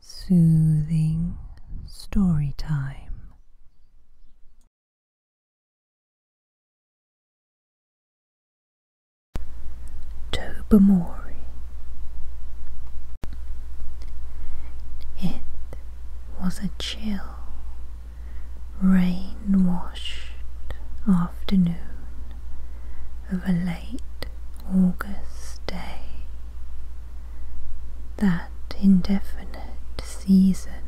Soothing story time. Tobermory. It was a chill, rain washed afternoon of a late August day. That indefinite season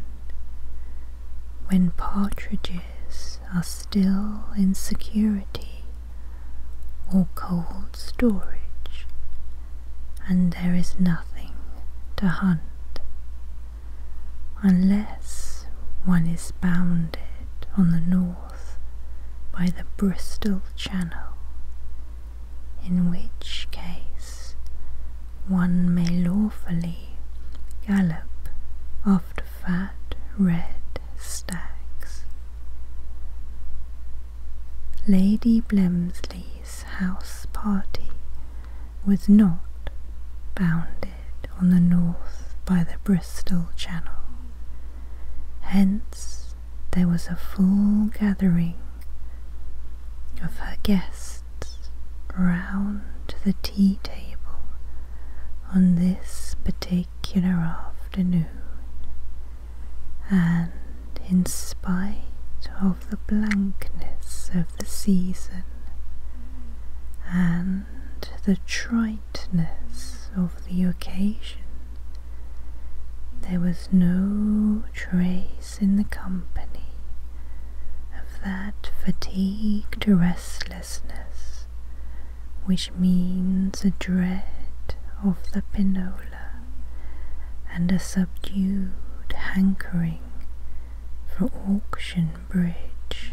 when partridges are still in security or cold storage, and there is nothing to hunt unless one is bounded on the north by the Bristol Channel, in which case one may lawfully gallop after fat red stags. Lady Blemsley's house party was not bounded on the north by the Bristol Channel. Hence, there was a full gathering of her guests round the tea table on this particular afternoon, and in spite of the blankness of the season and the triteness of the occasion, there was no trace in the company of that fatigued restlessness which means a dread of the pinola and a subdued hankering for auction bridge.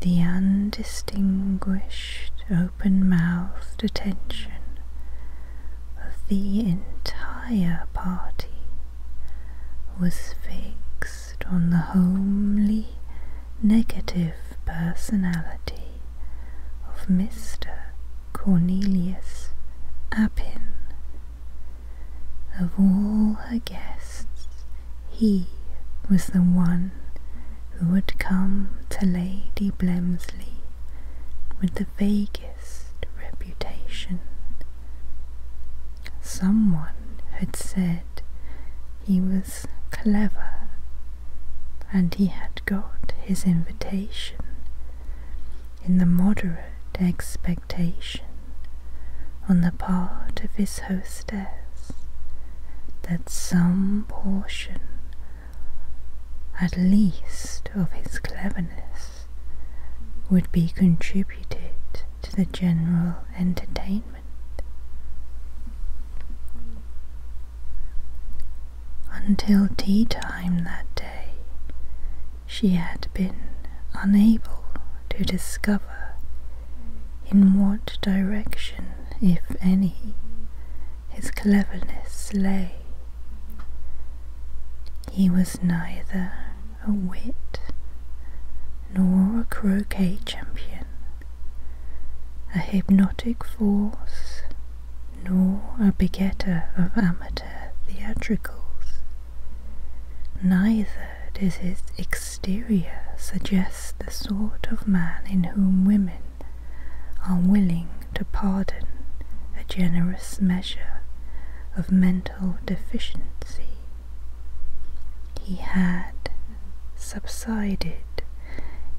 The undistinguished open mouthed attention of the entire party was fixed on the homely, negative personality of Mr. Cornelius Appin. Of all her guests, he was the one who had come to Lady Blemsley with the vaguest reputation. Someone had said he was clever and he had got his invitation in the moderate expectation on the part of his hostess that some portion at least of his cleverness, would be contributed to the general entertainment. Until tea time that day, she had been unable to discover in what direction if any, his cleverness lay. He was neither a wit nor a croquet champion, a hypnotic force nor a begetter of amateur theatricals. Neither does his exterior suggest the sort of man in whom women are willing to pardon a generous measure of mental deficiency. He had subsided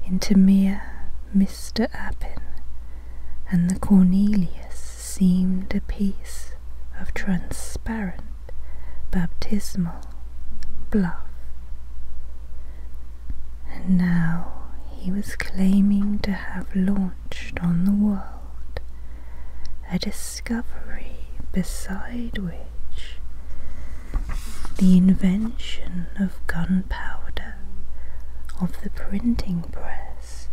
into mere Mr. Appin, and the Cornelius seemed a piece of transparent baptismal bluff and now he was claiming to have launched on the world a discovery beside which the invention of gunpowder, of the printing press,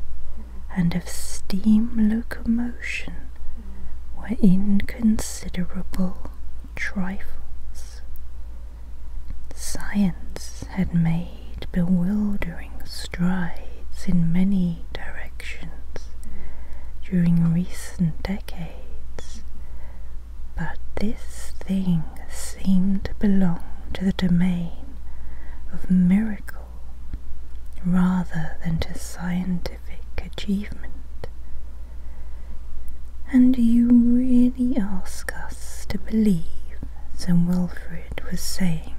and of steam locomotion were inconsiderable trifles. Science had made bewildering strides in many directions during recent decades, but this thing seemed to belong to the domain of miracle rather than to scientific achievement. And you really ask us to believe, Sir Wilfrid was saying,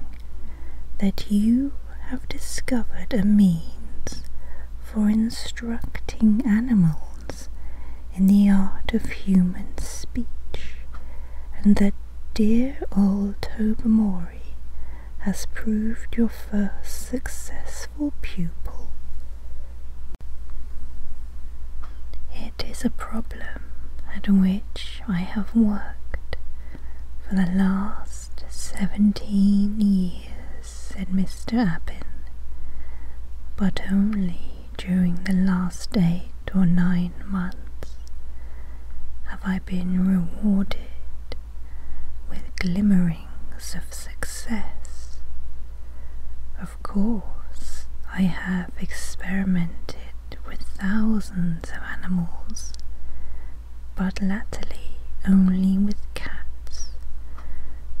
that you have discovered a means for instructing animals in the art of human speech, and that dear old Tobermory has proved your first successful pupil it is a problem at which I have worked for the last seventeen years, said Mr. Appin, but only during the last eight or nine months have I been rewarded with glimmerings of success. Of of course, I have experimented with thousands of animals, but latterly only with cats,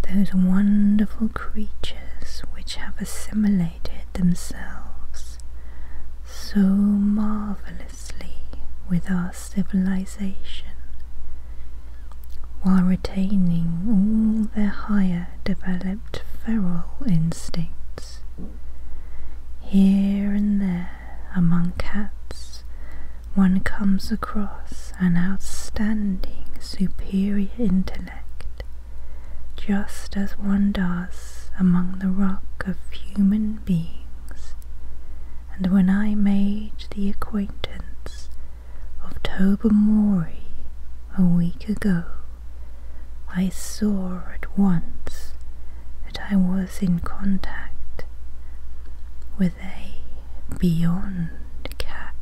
those wonderful creatures which have assimilated themselves so marvellously with our civilization while retaining all their higher development feral instincts. Here and there among cats, one comes across an outstanding superior intellect, just as one does among the rock of human beings. And when I made the acquaintance of Tobermory a week ago, I saw at once that I was in contact with a beyond cat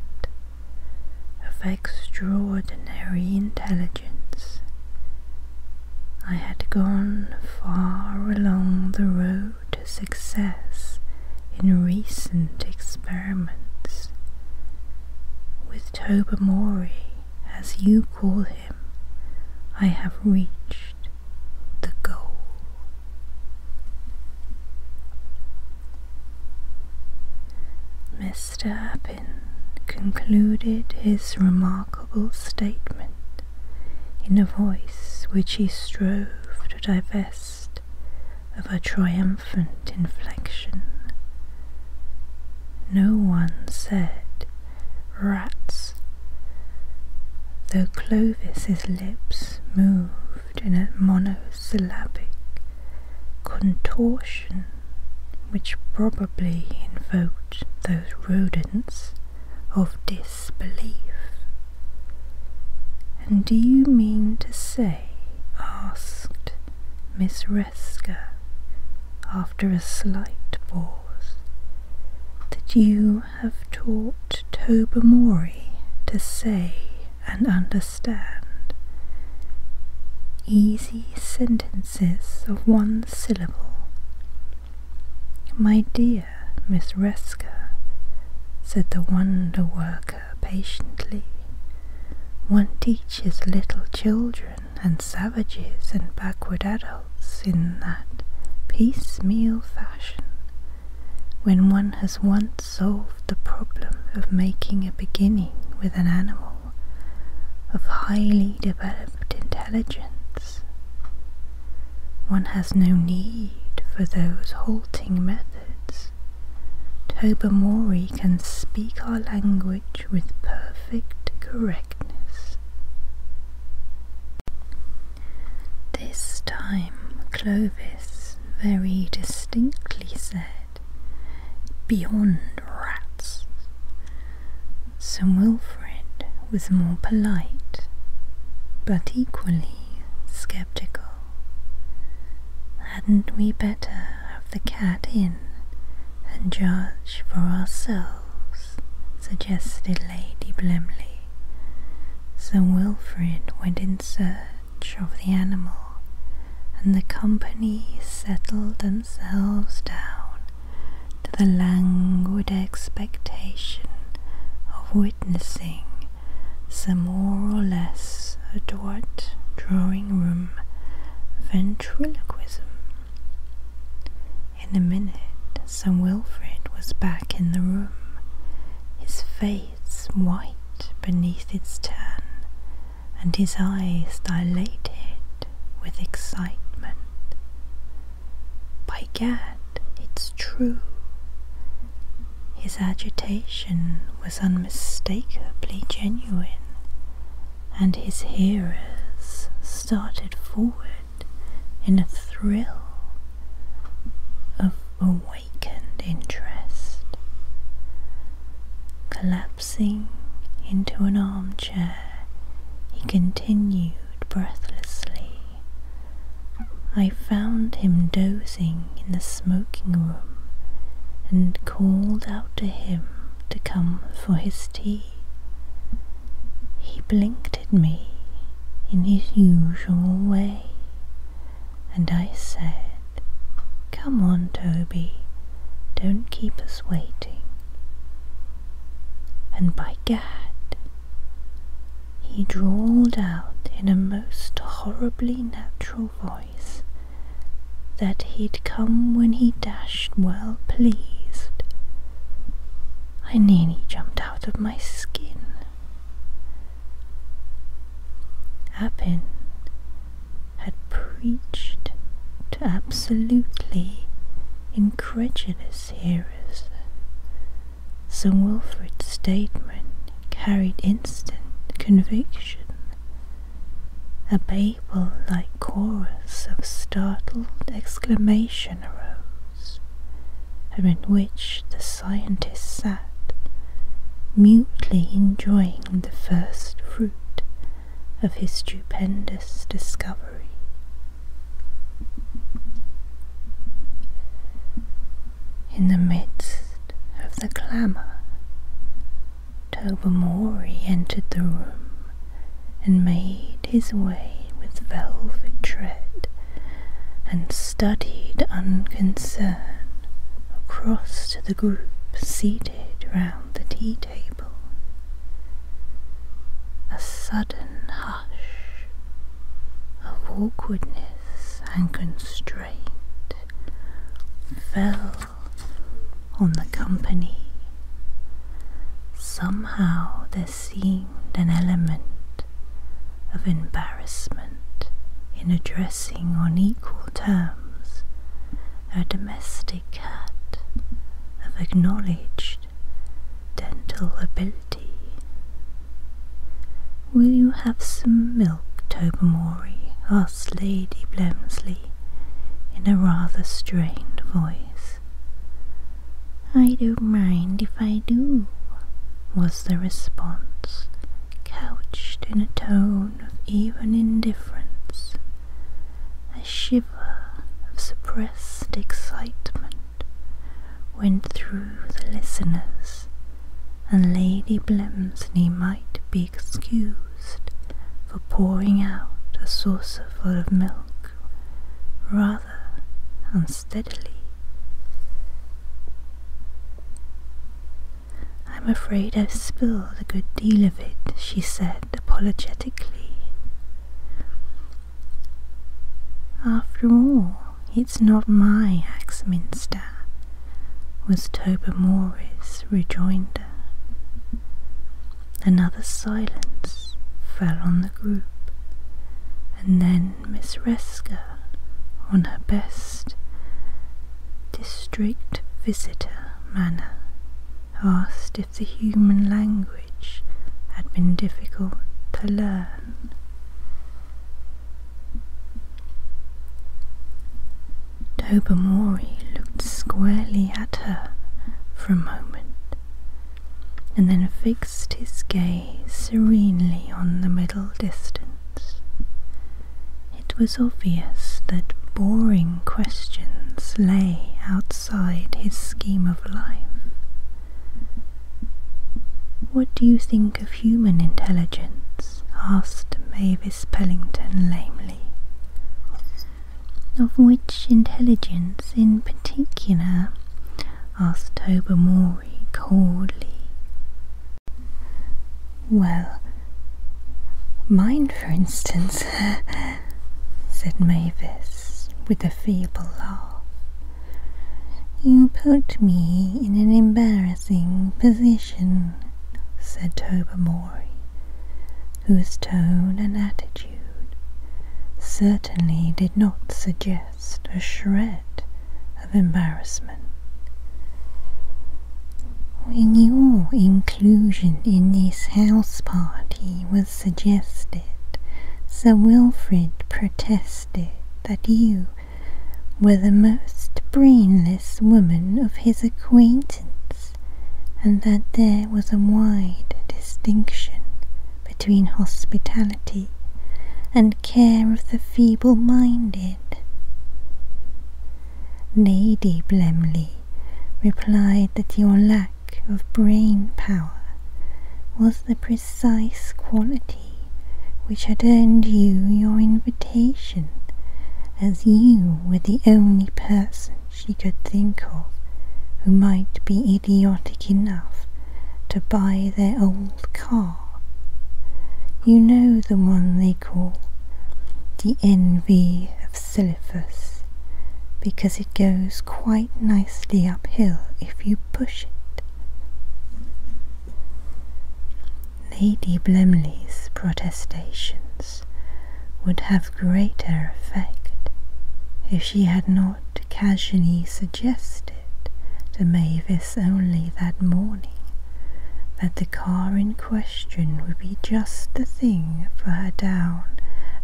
of extraordinary intelligence. I had gone far along the road to success in recent experiments with Tobermory, as you call him, I have reached the goal. Mr. Appin concluded his remarkable statement in a voice which he strove to divest of a triumph inflection. No one said, Rats, though Clovis's lips moved in a monosyllabic contortion which probably invoked those rodents of disbelief. And do you mean to say, asked Miss Oresca, after a slight pause, that you have taught Tobermory to say and understand easy sentences of one syllable. My dear Miss Resker, said the wonder worker patiently, one teaches little children and savages and backward adults in that piecemeal fashion when one has once solved the problem of making a beginning with an animal of highly developed intelligence. One has no need for those halting methods. Tobermory can speak our language with perfect correctness. This time Clovis very distinctly said, Beyond rats. Sir Wilfrid was more polite, but equally sceptical. Hadn't we better have the cat in and judge for ourselves? suggested Lady Blemley. Sir Wilfrid went in search of the animal, and the company settled themselves down to the languid expectation of witnessing some more or less Afterward, drawing room ventriloquism. In a minute, Sir Wilfrid was back in the room, his face white beneath its tan, and his eyes dilated with excitement. By gad, it's true. His agitation was unmistakably genuine, and his hearers started forward in a thrill of awakened interest. Collapsing into an armchair, he continued breathlessly. I found him dozing in the smoking room and called out to him to come for his tea. He blinked at me in his usual way, and I said, Come on, Toby, don't keep us waiting. And by gad, he drawled out in a most horribly natural voice that he'd come when he dashed well pleased. I nearly jumped out of my skin. Appin had preached to absolutely incredulous hearers. Sir Wilfrid's statement carried instant conviction. A Babel like chorus of startled exclamation arose, amid which the scientist sat, mutely enjoying the first fruit of his stupendous discovery. In the midst of the clamour, Tobermory entered the room and made his way with velvet tread and studied unconcern across to the group seated round the tea table. A sudden hush of awkwardness and constraint fell on the company. Somehow there seemed an element of embarrassment in addressing on equal terms a domestic cat of acknowledged dental ability. Will you have some milk, Tobermory? asked Lady Blemsley in a rather strained voice. I don't mind if I do, was the response, couched in a tone of even indifference, a shiver of suppressed excitement went through the listeners, and Lady Blemsey might be excused for pouring out a saucerful of milk rather unsteadily. I'm afraid I've spilled a good deal of it, she said apologetically. After all, it's not my Axminster, was Tobermory's rejoinder. Another silence fell on the group, and then Miss Resker, on her best district visitor manner, asked if the human language had been difficult to learn. Tobermory looked squarely at her for a moment, and then fixed his gaze serenely on the middle distance. It was obvious that boring questions lay outside his scheme of life. What do you think of human intelligence? asked Mavis Pellington lamely of which intelligence in particular asked Tobermory coldly. Well, mine, for instance, said Mavis with a feeble laugh. You put me in an embarrassing position, said Tobermory, whose tone and attitude certainly did not suggest a shred of embarrassment. When your inclusion in this house party was suggested, Sir Wilfrid protested that you were the most brainless woman of his acquaintance and that there was a wide distinction between hospitality and care of the feeble minded. Lady Blemley replied that your lack of brain power was the precise quality which had earned you your invitation, as you were the only person she could think of who might be idiotic enough to buy their old car. You know the one they call the envy of Sisyphus, because it goes quite nicely uphill if you push it. Lady Blemley's protestations would have greater effect if she had not casually suggested to Mavis only that morning that the car in question would be just the thing for her down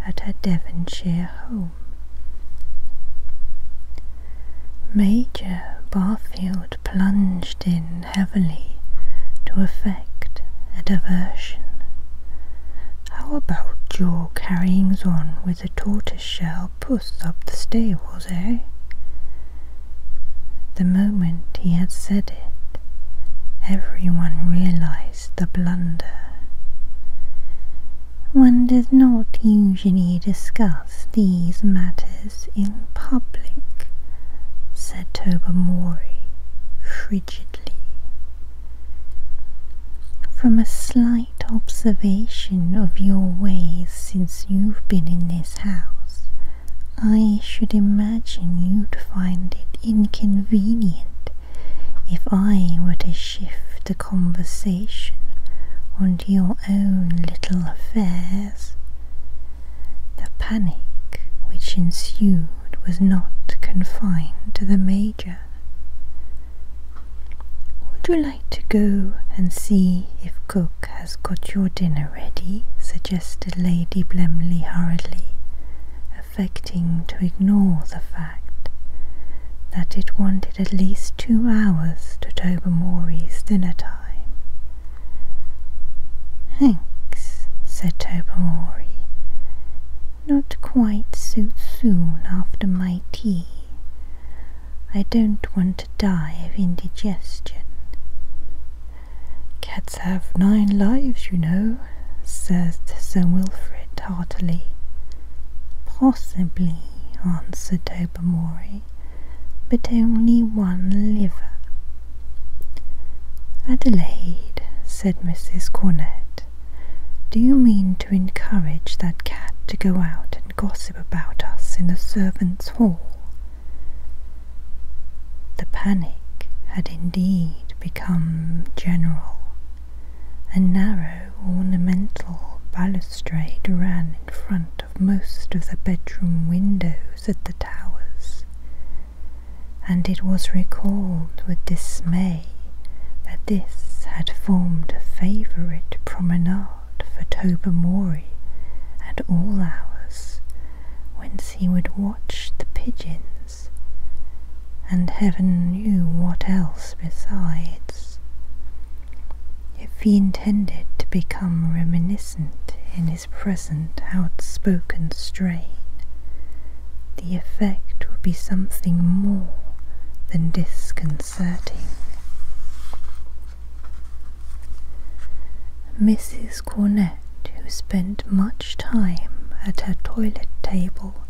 at her Devonshire home. Major Barfield plunged in heavily to effect a diversion, how about your carryings on with the tortoise-shell puss up the stables, eh? The moment he had said it, every one realized the blunder. One does not usually discuss these matters in public, said Tobermory from a slight observation of your ways since you've been in this house, I should imagine you'd find it inconvenient if I were to shift the conversation onto your own little affairs. The panic which ensued was not confined to the maid. Would you like to go and see if cook has got your dinner ready? suggested Lady Blemley hurriedly, affecting to ignore the fact that it wanted at least two hours to Tobermory's dinner time. Thanks, said Tobermory. Not quite so soon after my tea. I don't want to die of indigestion. Cats have nine lives, you know, says Sir Wilfrid heartily. Possibly, answered Tobermory, but only one liver. Adelaide, said Mrs. Cornett, do you mean to encourage that cat to go out and gossip about us in the servants' hall? The panic had indeed become general. A narrow ornamental balustrade ran in front of most of the bedroom windows at the towers and it was recalled with dismay that this had formed a favourite promenade for Tobermory at all hours, whence he would watch the pigeons, and heaven knew what else besides. If he intended to become reminiscent in his present outspoken strain, the effect would be something more than disconcerting. Mrs. Cornett, who spent much time at her toilet table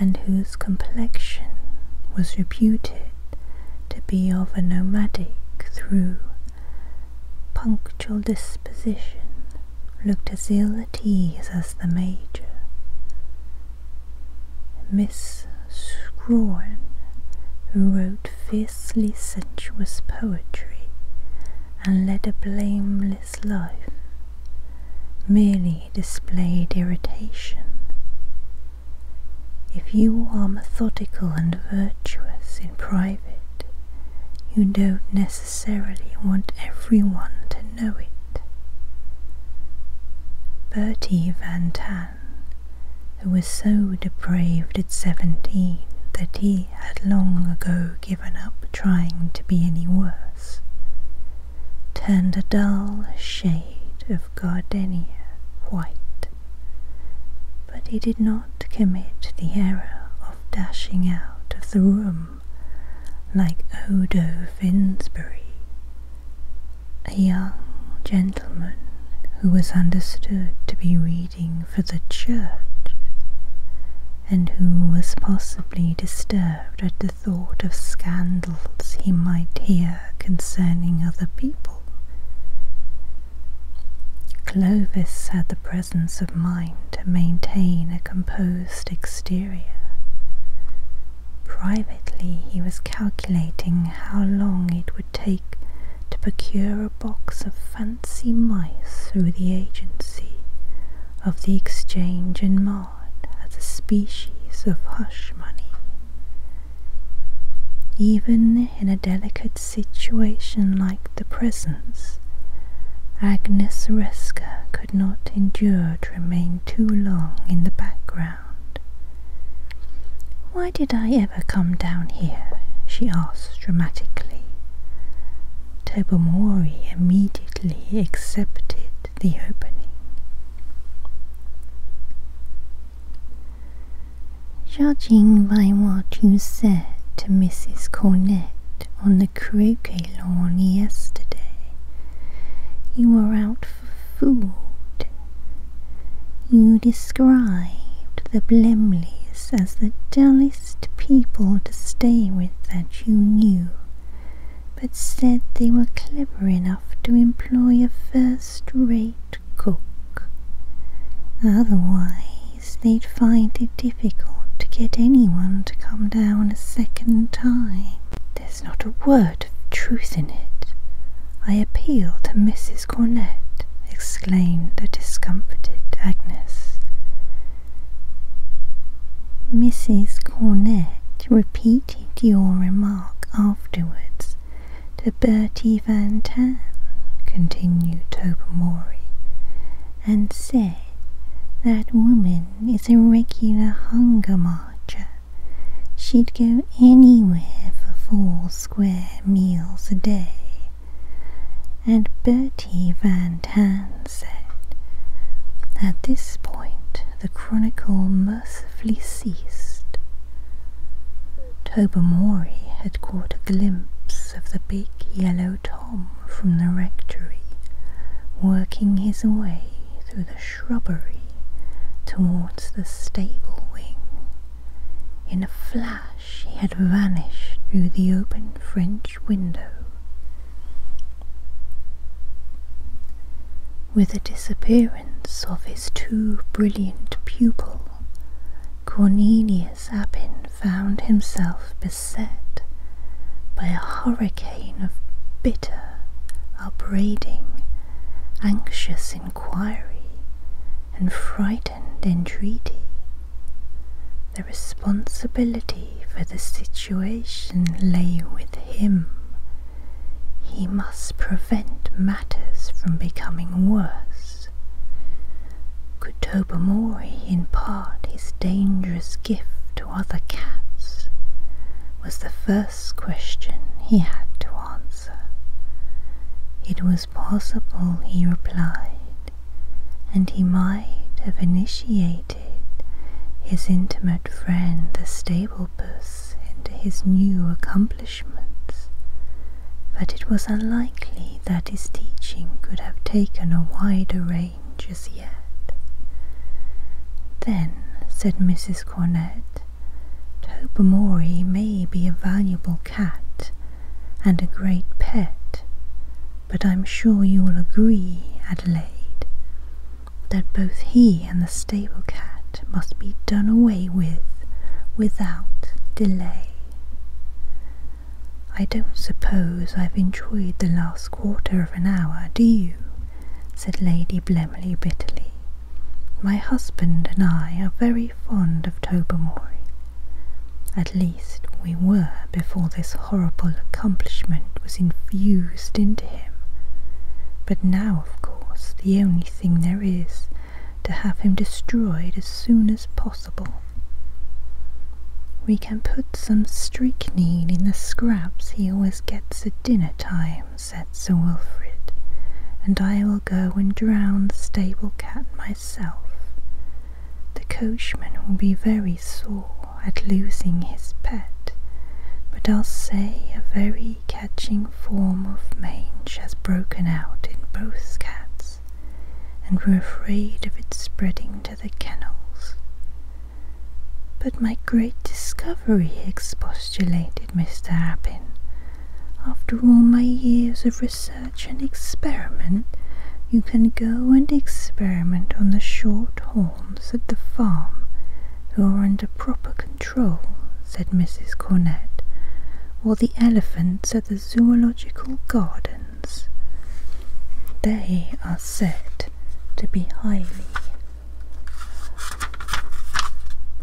and whose complexion was reputed to be of a nomadic through punctual disposition, looked as ill at ease as the Major. Miss Scroon, who wrote fiercely sensuous poetry and led a blameless life, merely displayed irritation. If you are methodical and virtuous in private, you don't necessarily necessarily want everyone to know it. Bertie Van Tan, who was so depraved at seventeen that he had long ago given up trying to be any worse, turned a dull shade of gardenia white. But he did not commit the error of dashing out of the room like Odo Finsbury, a young gentleman who was understood to be reading for the church, and who was possibly disturbed at the thought of scandals he might hear concerning other people. Clovis had the presence of mind to maintain a composed exterior. Privately, he was calculating how long it would take to procure a box of fancy mice through the agency of the exchange in Maud as a species of hush money. Even in a delicate situation like the present, Agnes Reska could not endure remain too long in the background. Why did I ever come down here? she asked dramatically. Tobomori immediately accepted the opening. Judging by what you said to Mrs. Cornett, on the croquet lawn yesterday. You were out for food. You described the Blemleys as the dullest people to stay with that you knew, but said they were clever enough to employ a first-rate cook. Otherwise, they'd find it difficult to get anyone to come down a second time. There's not a word of truth in it. I appeal to Mrs. Cornett, exclaimed the discomfited Agnes. Mrs. Cornett repeated your remark afterwards to Bertie Van Tan, continued Tobermory, and said that woman is a regular hunger marcher. She'd go anywhere for four square meals a day. And Bertie Van Tan said, At this point the chronicle mercifully ceased. Tobermory had caught a glimpse of the big yellow Tom from the rectory, working his way through the shrubbery towards the stable wing. In a flash he had vanished through the open French window. With the disappearance of his too brilliant pupil, Cornelius Appin found himself beset by a hurricane of bitter upbraiding, anxious inquiry, and frightened entreaty. The responsibility for the situation lay with him. He must prevent matters from becoming worse. Could Tobermory impart his dangerous gift other cats was the first question he had to answer. It was possible, he replied, and he might have initiated his intimate friend the stable puss into his new accomplishments, but it was unlikely that his teaching could have taken a wider range. Just yet. Then, said Mrs. Cornett, Tobermory may be a valuable cat and a great pet, but I'm sure you'll agree, Adelaide, that both he and the stable cat must be done away with without delay. I don't suppose I've enjoyed the last quarter of an hour, do you? said Lady Blemley bitterly. My husband and I are very fond of Tobermory. At least we were before this horrible accomplishment was infused into him. But now, of course, the only thing there is to have him destroyed as soon as possible. We can put some strychnine in the scraps he always gets at dinner time, said Sir Wilfrid, and I will go and drown the stable cat myself. The coachman will be very sore at losing his pet, but I'll say a very catching form of mange has broken out in both cats, and we're afraid of its spreading to the kennels. But my great discovery, expostulated Mr. Appin. After all my years of research and experiment, you can go and experiment on the short horns at the farm, who are under proper control, said Mrs. Cornett, or the elephants at the zoological gardens. They are said to be highly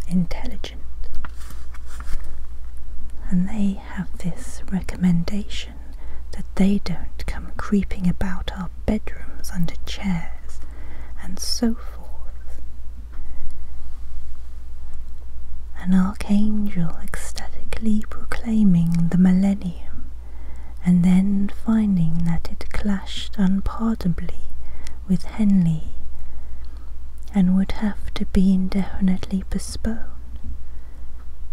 intelligent. And they have this recommendation that they don't come creeping about our bedrooms under chairs and so forth. An archangel ecstatically proclaiming the millennium and then finding that it clashed unpardonably with Henley and would have to be indefinitely postponed,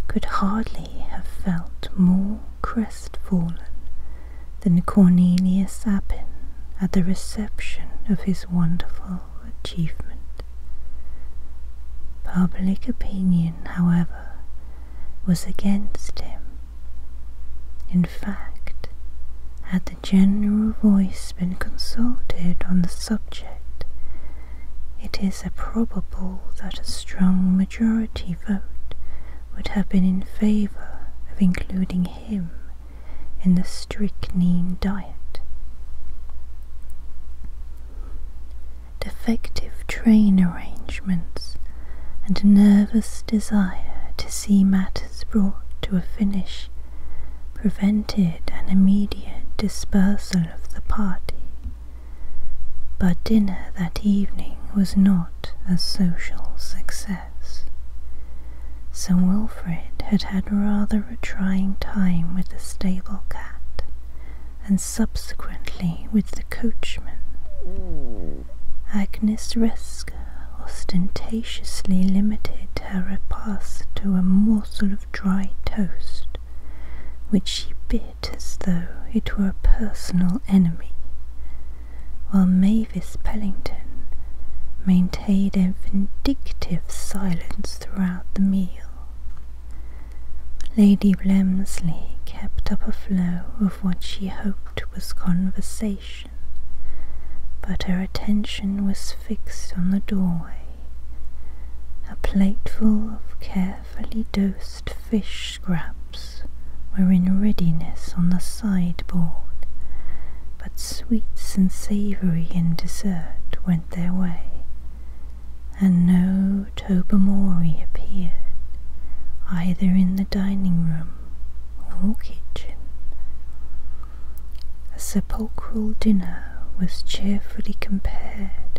could hardly have felt more crestfallen than Cornelius Appin at the reception of his wonderful achievement. Public opinion, however, was against him in fact, had the general voice been consulted on the subject, it is probable that a strong majority vote would have been in favour of including him in the strychnine diet. Defective train arrangements and nervous desire to see matters brought to a finish prevented an immediate dispersal of the party. But dinner that evening was not a social success. Sir Wilfrid had had rather a trying time with the stable cat, and subsequently with coachman. Agnes Resker ostentatiously limited her repast to a morsel of dry toast, which she bit as though it were a personal enemy, while Mavis Pellington maintained a vindictive silence throughout the meal. Lady Blemsley kept up a flow of what she hoped was conversation but her attention was fixed on the doorway. A plateful of carefully dosed fish scraps were in readiness on the sideboard, but sweets and savoury and dessert went their way, and no Tobermory appeared, either in the dining room or kitchen. A sepulchral dinner was cheerfully compared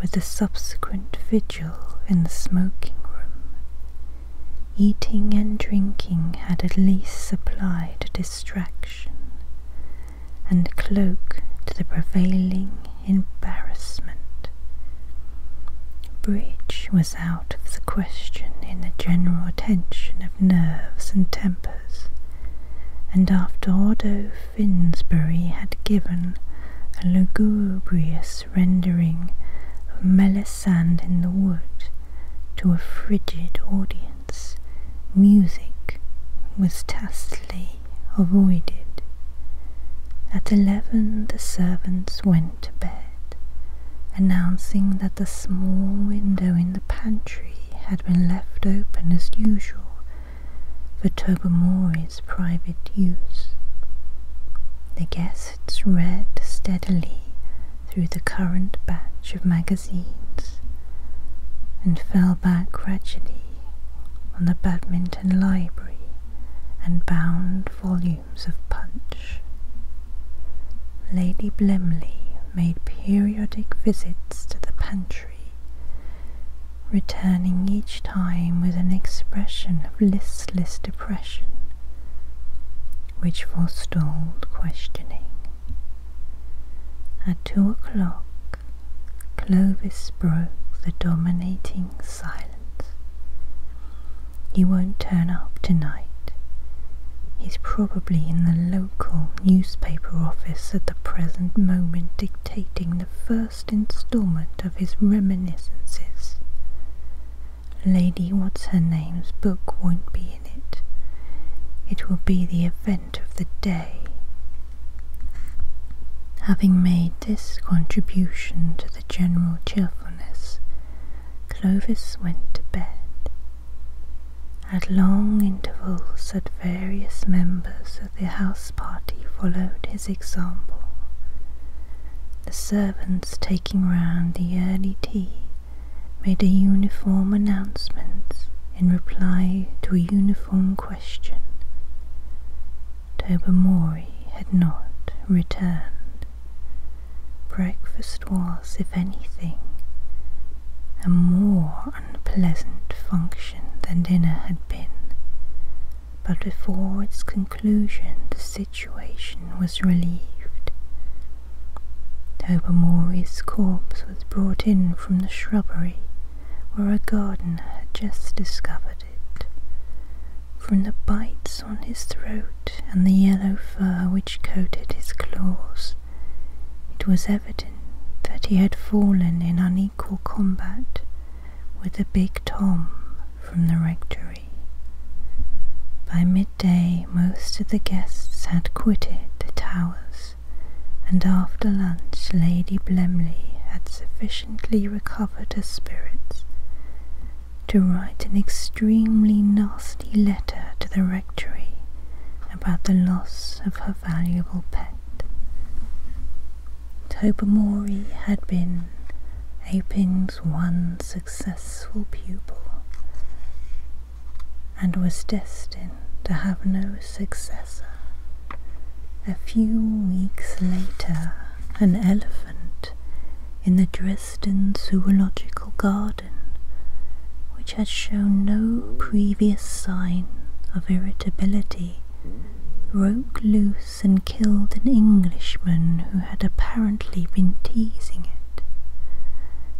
with the subsequent vigil in the smoking room. Eating and drinking had at least supplied distraction and cloak to the prevailing embarrassment. Bridge was out of the question in the general tension of nerves and tempers, and after Odo Finsbury had given a lugubrious rendering of Melisande in the Wood to a frigid audience, music was tastily avoided. At eleven the servants went to bed announcing that the small window in the pantry had been left open as usual for Tobermory's private use. The guests read steadily through the current batch of magazines and fell back gradually on the badminton library and bound volumes of Punch. Lady Blemley made periodic visits to the pantry, returning each time with an expression of listless depression which forestalled questioning. At two o'clock, Clovis broke the dominating silence. He won't turn up tonight. He's probably in the local newspaper office at the present moment dictating the first installment of his reminiscences. Lady What's Her Name's book won't be in it. It will be the event of the day. Having made this contribution to the general cheerfulness, Clovis went to bed. At long intervals at various members of the house party followed his example, the servants taking round the early tea made a uniform announcement in reply to a uniform question. Tobermory had not returned. Breakfast was, if anything, a more unpleasant function than dinner had been, but before its conclusion the situation was relieved. Tobermory's corpse was brought in from the shrubbery where a gardener had just discovered it. From the bites on his throat and the yellow fur which coated his claws. It was evident that he had fallen in unequal combat with the big Tom from the rectory. By midday most of the guests had quitted the towers, and after lunch Lady Blemley had sufficiently recovered her spirits to write an extremely nasty letter to the rectory about the loss of her valuable pet. Tobermory had been Aping's one successful pupil and was destined to have no successor. A few weeks later, an elephant in the dress Dresden Zoological Garden, which had shown no previous sign of irritability, broke loose and killed an Englishman who had apparently been teasing it.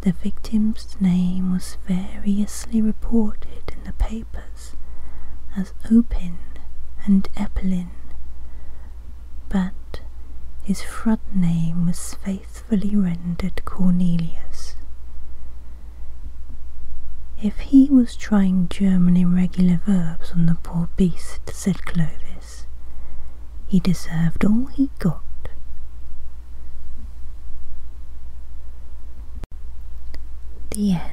The victim's name was variously reported in the papers as Opin and Eppelin, but his front name was faithfully rendered Cornelius. If he was trying German irregular verbs on the poor beast, said Clovis, he deserved all he got. The end.